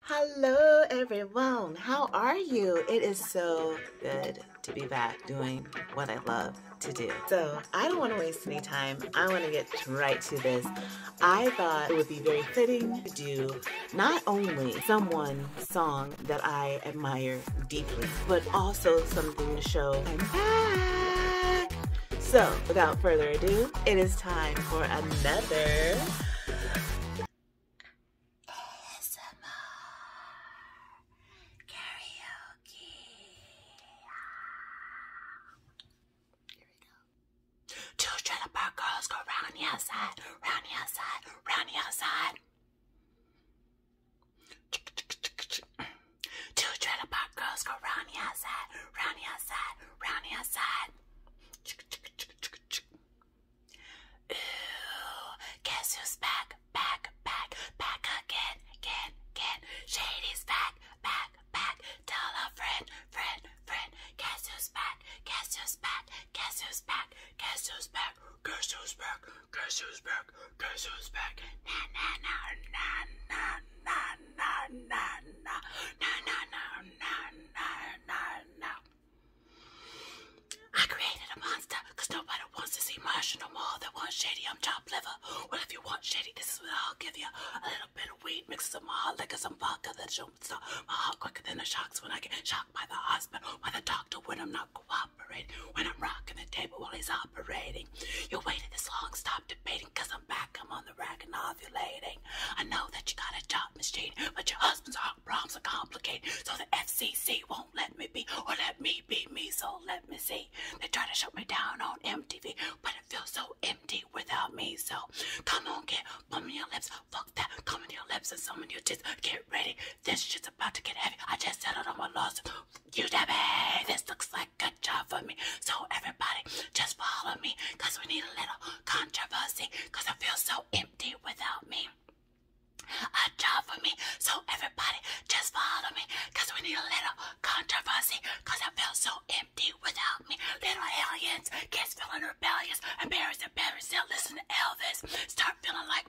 Hello, everyone. How are you? It is so good to be back doing what I love to do. So, I don't want to waste any time. I want to get right to this. I thought it would be very fitting to do not only someone song that I admire deeply, but also something to show I'm back. So, without further ado, it is time for another karaoke. Here we go. Children of our girls go round the outside, round the outside, round the outside. Children of our girls go round the outside, round the outside round the outside. Ooh, guess who's back, back, back, back again, again, again. Shady's back, back, back. Tell a friend, friend, friend. Guess who's back, guess who's back, guess who's back, guess who's back, guess who's back, guess who's back, guess who's back. Na na na na na na no, no, no, no, no, no, no, no, I created a monster nobody wants this emotional more They want shady um chopped liver. Well, if you want shady, this is what I'll give you. A little bit of weed mixed with some hot liquor, some vodka That's you'll my heart quicker than the shocks when I get shocked by the husband, by the doctor when I'm not quiet when I'm rocking the table while he's operating. You waited this long, stop debating, cause I'm back, I'm on the rack and ovulating. I know that you got a job, Miss Jane, but your husband's heart problems are complicated, so the FCC won't let me be, or let me be me, so let me see. They try to shut me down on MTV, but it feels so empty without me, so come on, get come in your lips, fuck that, come in your lips and some in your tits, get ready, this shit's about to get heavy, I just settled on my lawsuit, you this looks like a job for me. So everybody, just follow me, we need a little controversy, cause I so empty without me. A job for me, so everybody, just follow me, cause we need a little controversy, cause I feel so empty without me. Little aliens, kids feeling rebellious, embarrassed and better still listen to Elvis. Start feeling like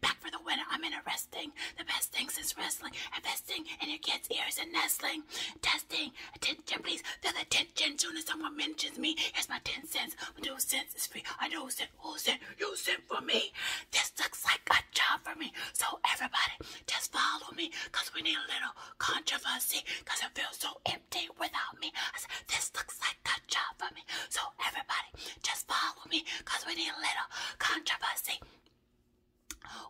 back for the winter. I'm in a resting. The best thing since wrestling. Investing in your kids' ears and nestling. Testing. Attention, please. The attention. Soon as someone mentions me, here's my 10 cents. My 2 cents is free. I know cent. Who cent? You cent for me. This looks like a job for me. So everybody, just follow me. Because we need a little controversy. Because it feels so empty without me. this looks like a job for me. So everybody, just follow me, cause we need a little controversy.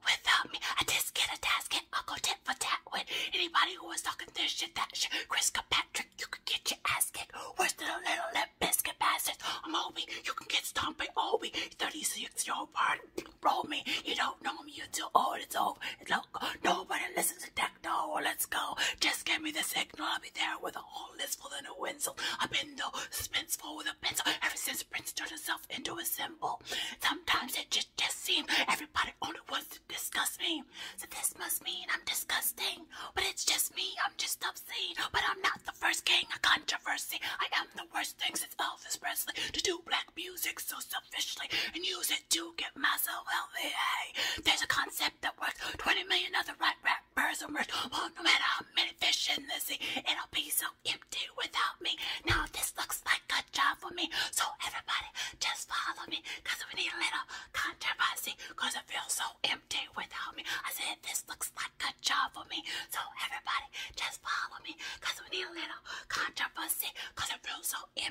Without me, I just get a task and i go tit for tat with anybody who is talking this shit, that shit. Chris Patrick, you could get your ass kicked. Where's the little lip biscuit bastard. I'm Obie, you can get stomped by Obie. 36 year old part, roll me. You don't know me, you're too old, it's over. It's Nobody listens to that no, let's go. Just give me the signal. I'll be there with a whole list full of new winsel. I've been though suspenseful with a pencil ever since Prince turned himself into a symbol. Sometimes it just, seems everybody only wants to discuss me. So this must mean I'm disgusting. But it's just me. I'm just obscene. But I'm not the first king of controversy. I am the worst thing since Elvis Presley to do black music so selfishly and use it to get myself healthy. there's a concept that works. 20 million other rat rappers emerge. Well, no matter how many fish in the sea, it'll be so empty without me. Now this looks like a job for me. So everybody, just follow me. Cause we need a little controversy. Cause it feels so empty without me. I said this looks like a job for me. So everybody, just follow me. Cause we need a little controversy. Cause it feels so empty